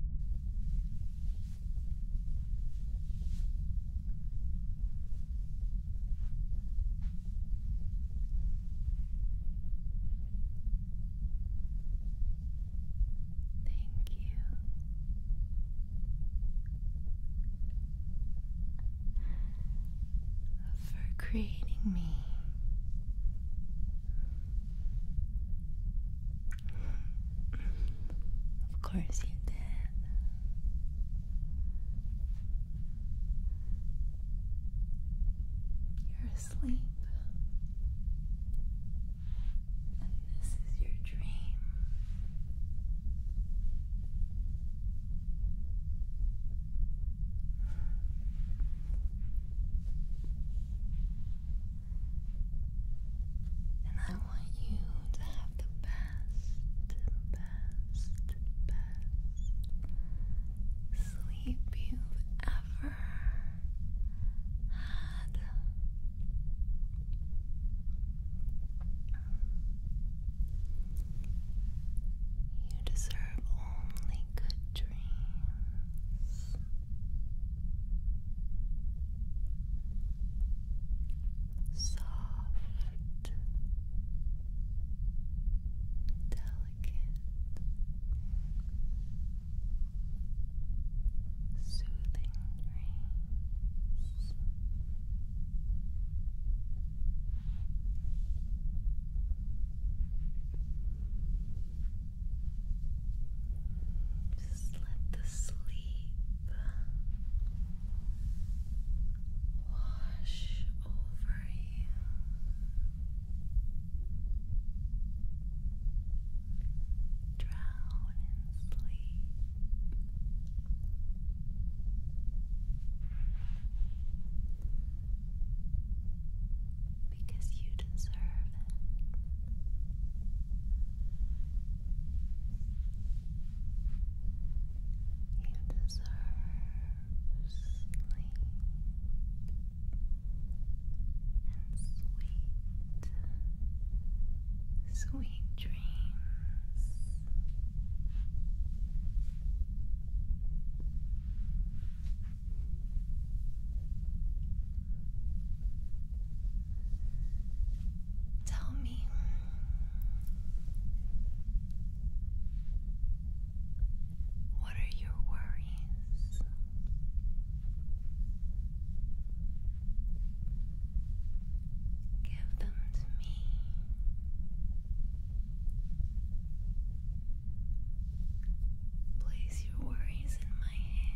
Thank you. For creating me, of course you did. You're asleep. And this is your dream. And I want you to have the best, best, best sleep you've ever had. You deserve only good dreams soft, delicate, soothing dreams. Good. Just let the sleep wash over you. Drown in sleep. Because you deserve you deserve sleep and sweet, sweet dreams. Tell me. What are your worries? Give them to me. Place your worries in my hands.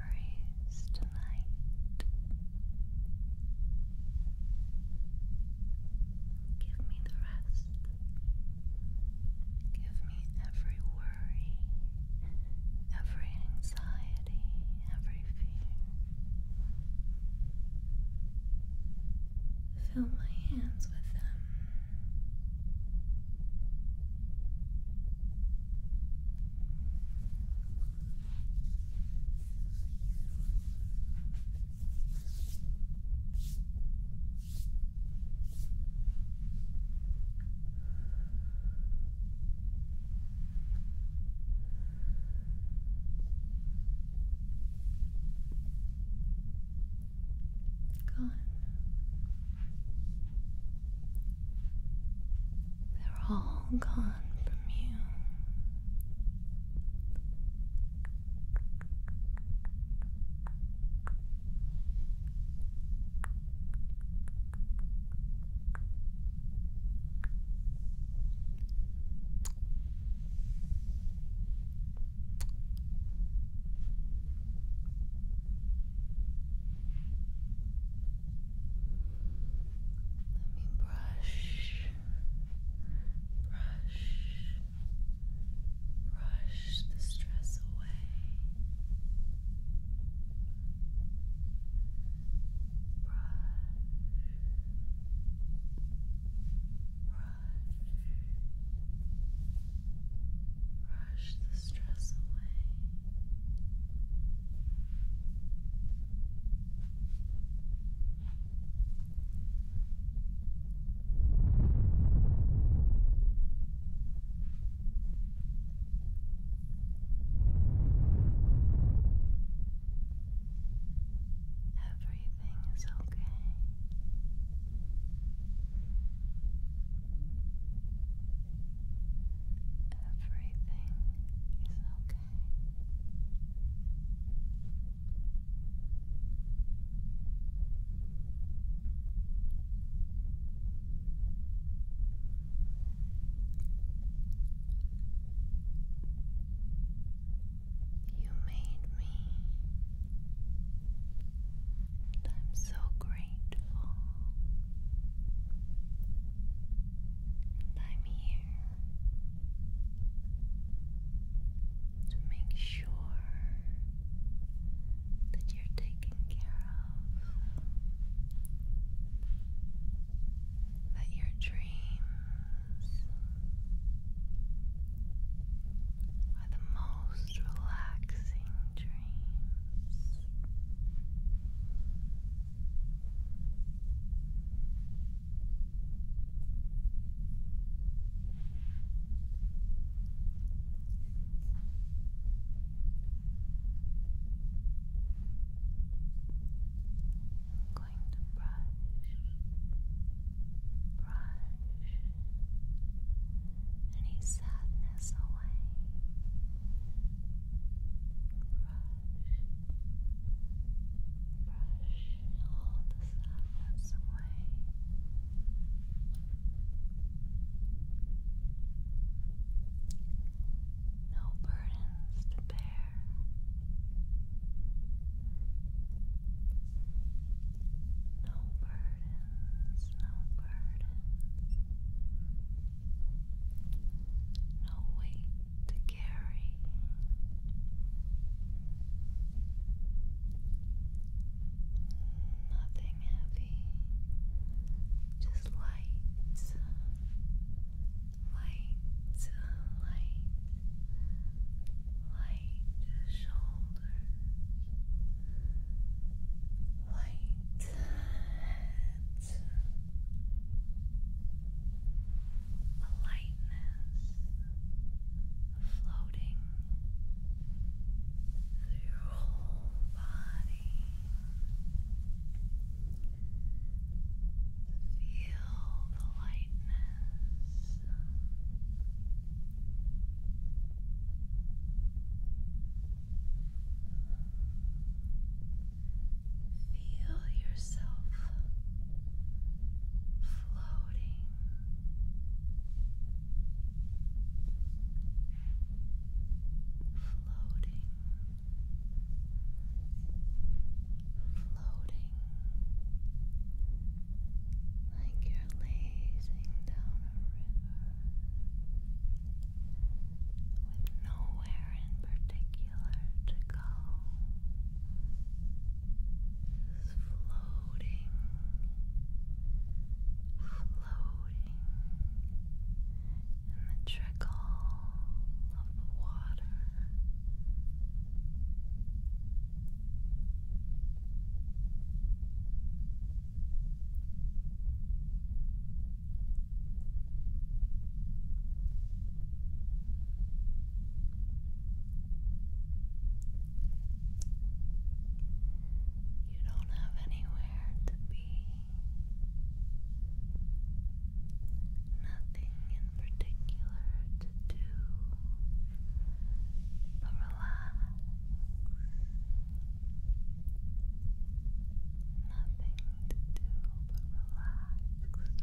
worries tonight. Give me the rest. Give me every worry, every anxiety, every fear. Fill my hands with them. Gone. They're all gone from you. Let me brush, brush, brush the stress away. Brush, brush, brush the stress away. Everything is okay. Everything is okay. You made me, I'm so grateful and I'm here to make sure that you're taken care of, that your dreams are the most relaxing dreams going to brush, brush any sadness away. Brush, brush all the sadness away. No burdens to bear. No burdens, no burdens no weight to carry. Nothing heavy, just light, light, light, light shoulders, light it's a lightness floating through your whole body. Feel the lightness. Feel yourself floating. Floating, floating, like you're lazing down a river, with nowhere in particular to go, just floating, floating in the trickle of water. You don't have anywhere to be, nothing in particular to do, relax. Nothing to do but relax,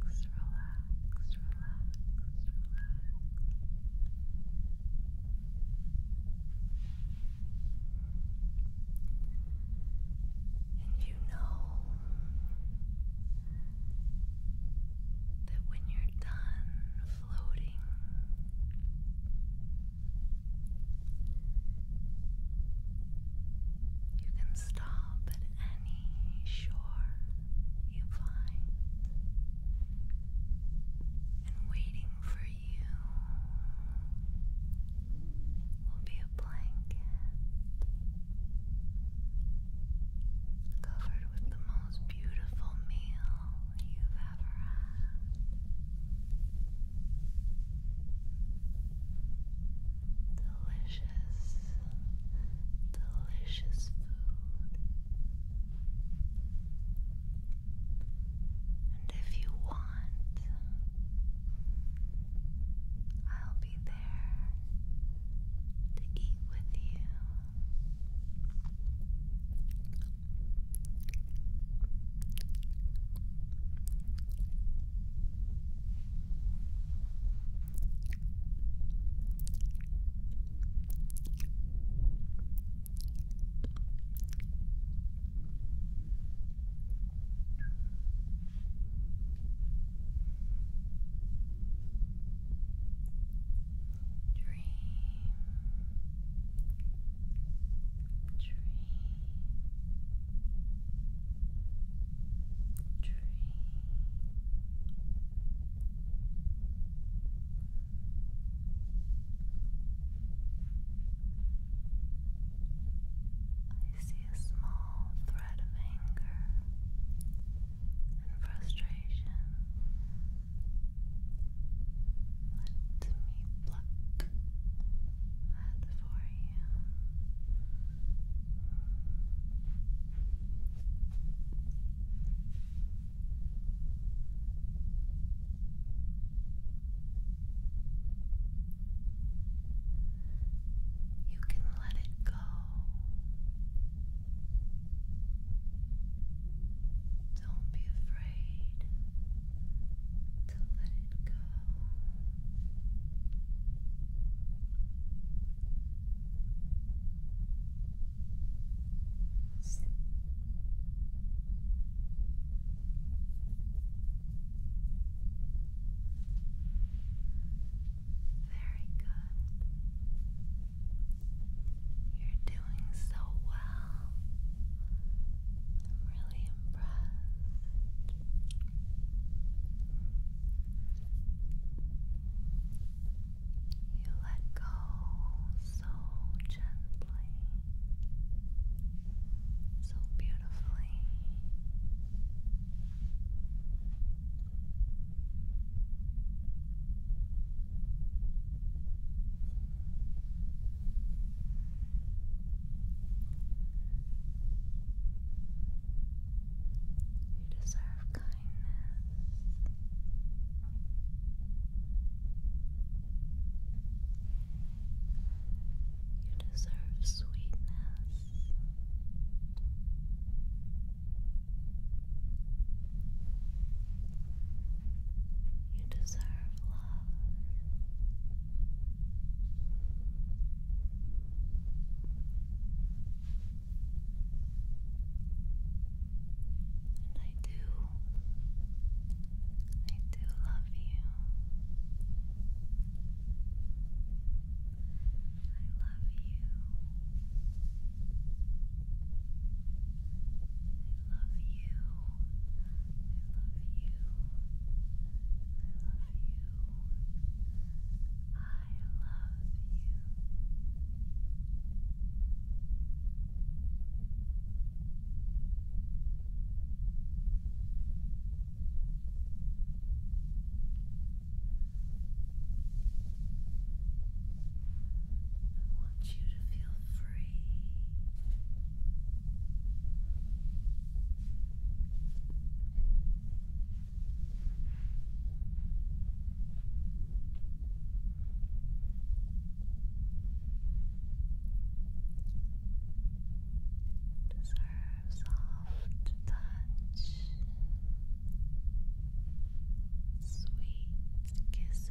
relax, relax, relax, relax. And you know that when you're done floating, you can stop at any shore you find, and waiting for you will be a blanket covered with the most beautiful meal you've ever had. Delicious, delicious food. And if you want, I'll be there to eat with you. Dream. Dream. I see a small thread of anger and frustration. Let me pluck at the forehead you can let it go. Don't be afraid to let it go. Very good. You're doing so well. I'm really impressed. You let go so gently, so beautifully. You you deserve kindness. You deserve sweetness. You deserve love. And I do, I do love you. I love you. I love you. I love you. I love you. I want you I want you to feel free. Deserve soft touch, sweet kisses,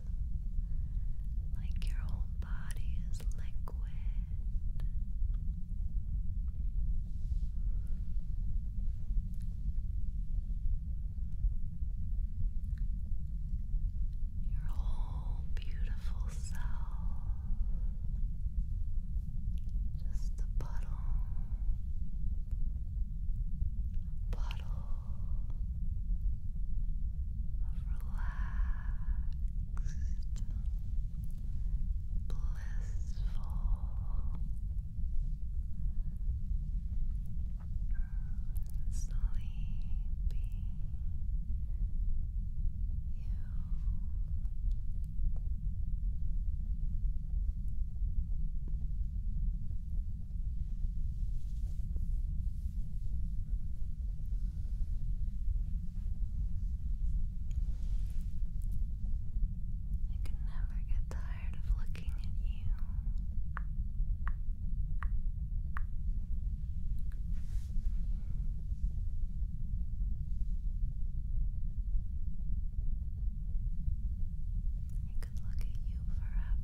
like your whole body is liquid. Your whole beautiful self, just a puddle bottle of relaxed, blissful sleepy you. I can never get tired of looking at you could look at you forever.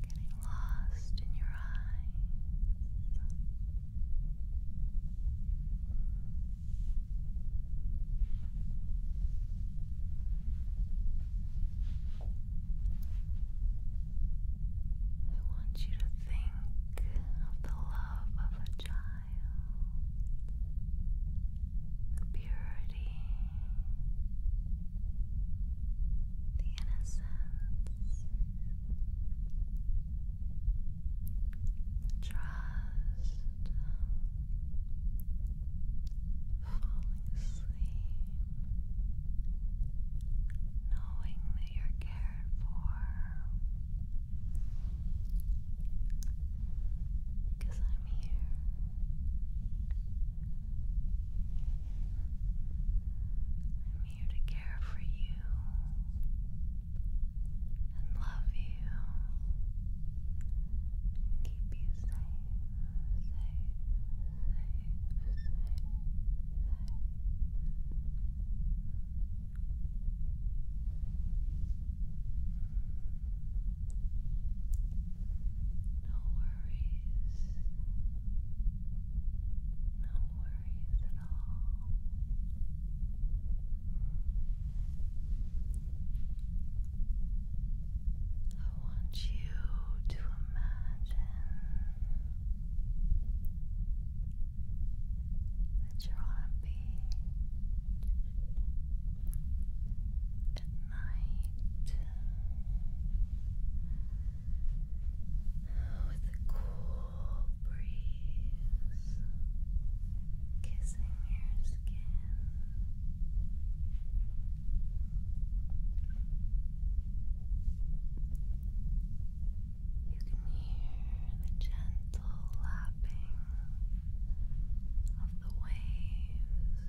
Getting lost in your eyes. I want you to think of the love of a child the purity, the innocence, the trust, falling asleep, knowing that you're cared for. Because I'm here. I'm here to care for you and love you keep you safe, safe, safe, safe, safe. No worries. No worries at all. I want you to imagine that you're on a beach Good night. With a cool breeze kissing your skin. You can hear the gentle lapping of the waves. And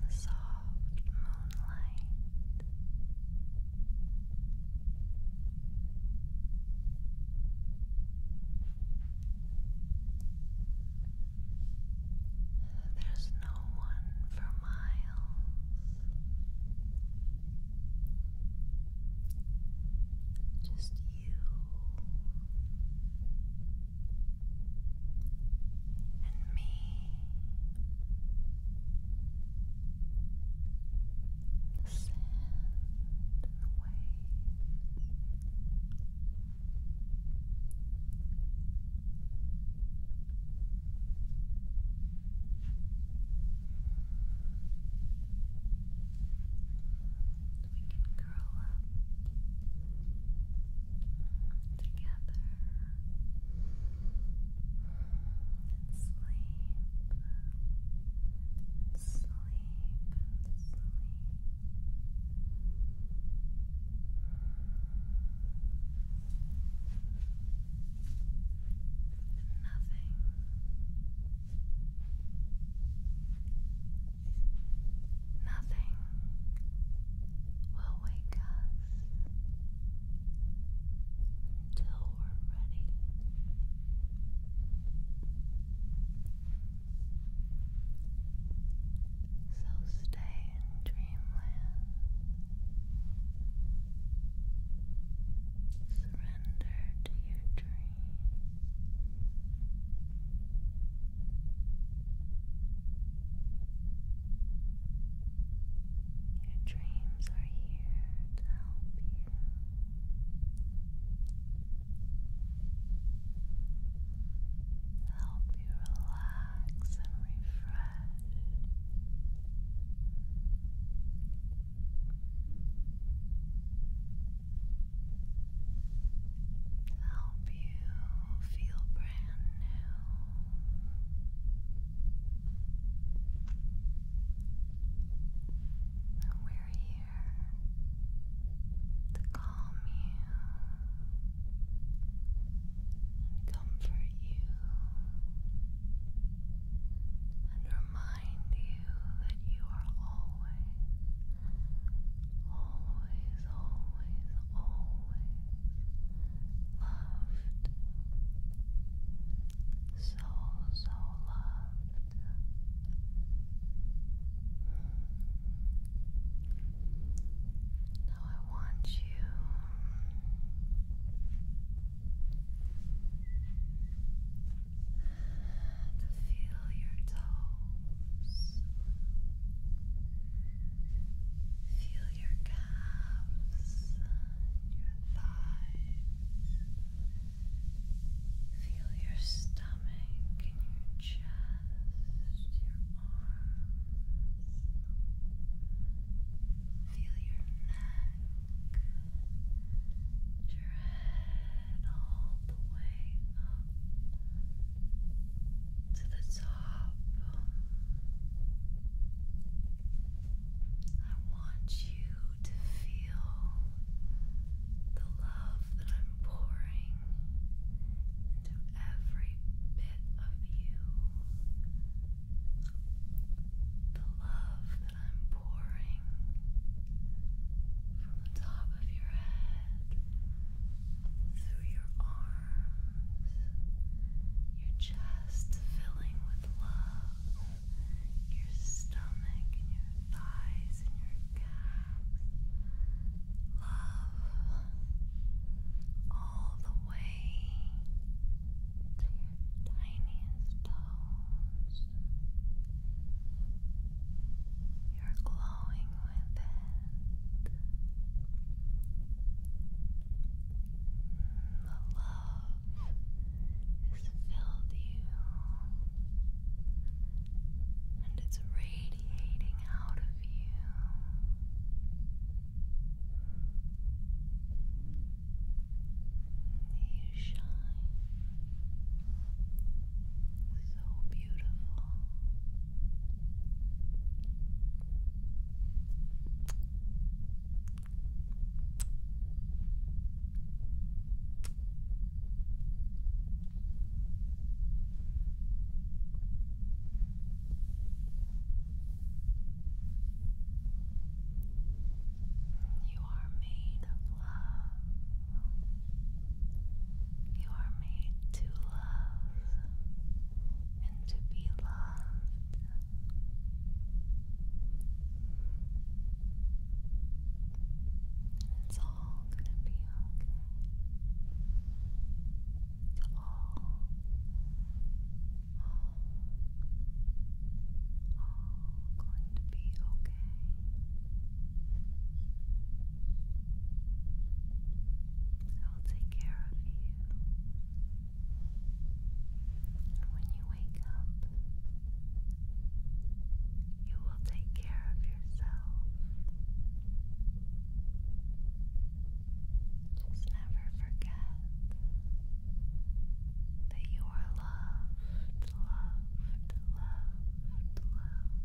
the soft moonlight. There's no one for miles. Just you and me. The sand and the waves. We can curl up together and sleep sleep sleep. Nothing. Nothing will wake us until we're ready. So stay in dreamland. Surrender to your dream. Your dreams are here to help you. Help you relax and refresh. Help you feel brand new. we're here to calm you and comfort you and remind you that you are always, always, always, always loved. So, so loved. Now I want you to feel your toes, feel your calves, your thighs, feel your stomach and your chest, your arms. Feel your neck dread all the way up to the top. I want you to feel the love that I'm pouring into every bit of you the love that I'm pouring from the top of your head through your arms, your chest filling with love, your stomach and your thighs and your calves. Love all the way to your tiniest toes. You're glowing with it. The love has filled you, and it's radiating out of you. You shine so beautiful. You are made of love. You are made to love and to be loved. It's all going to be okay. It's all all going to be okay. I'll take care of you. And when you wake up, you will take care of yourself. Just never forget that you are loved, loved, loved, loved,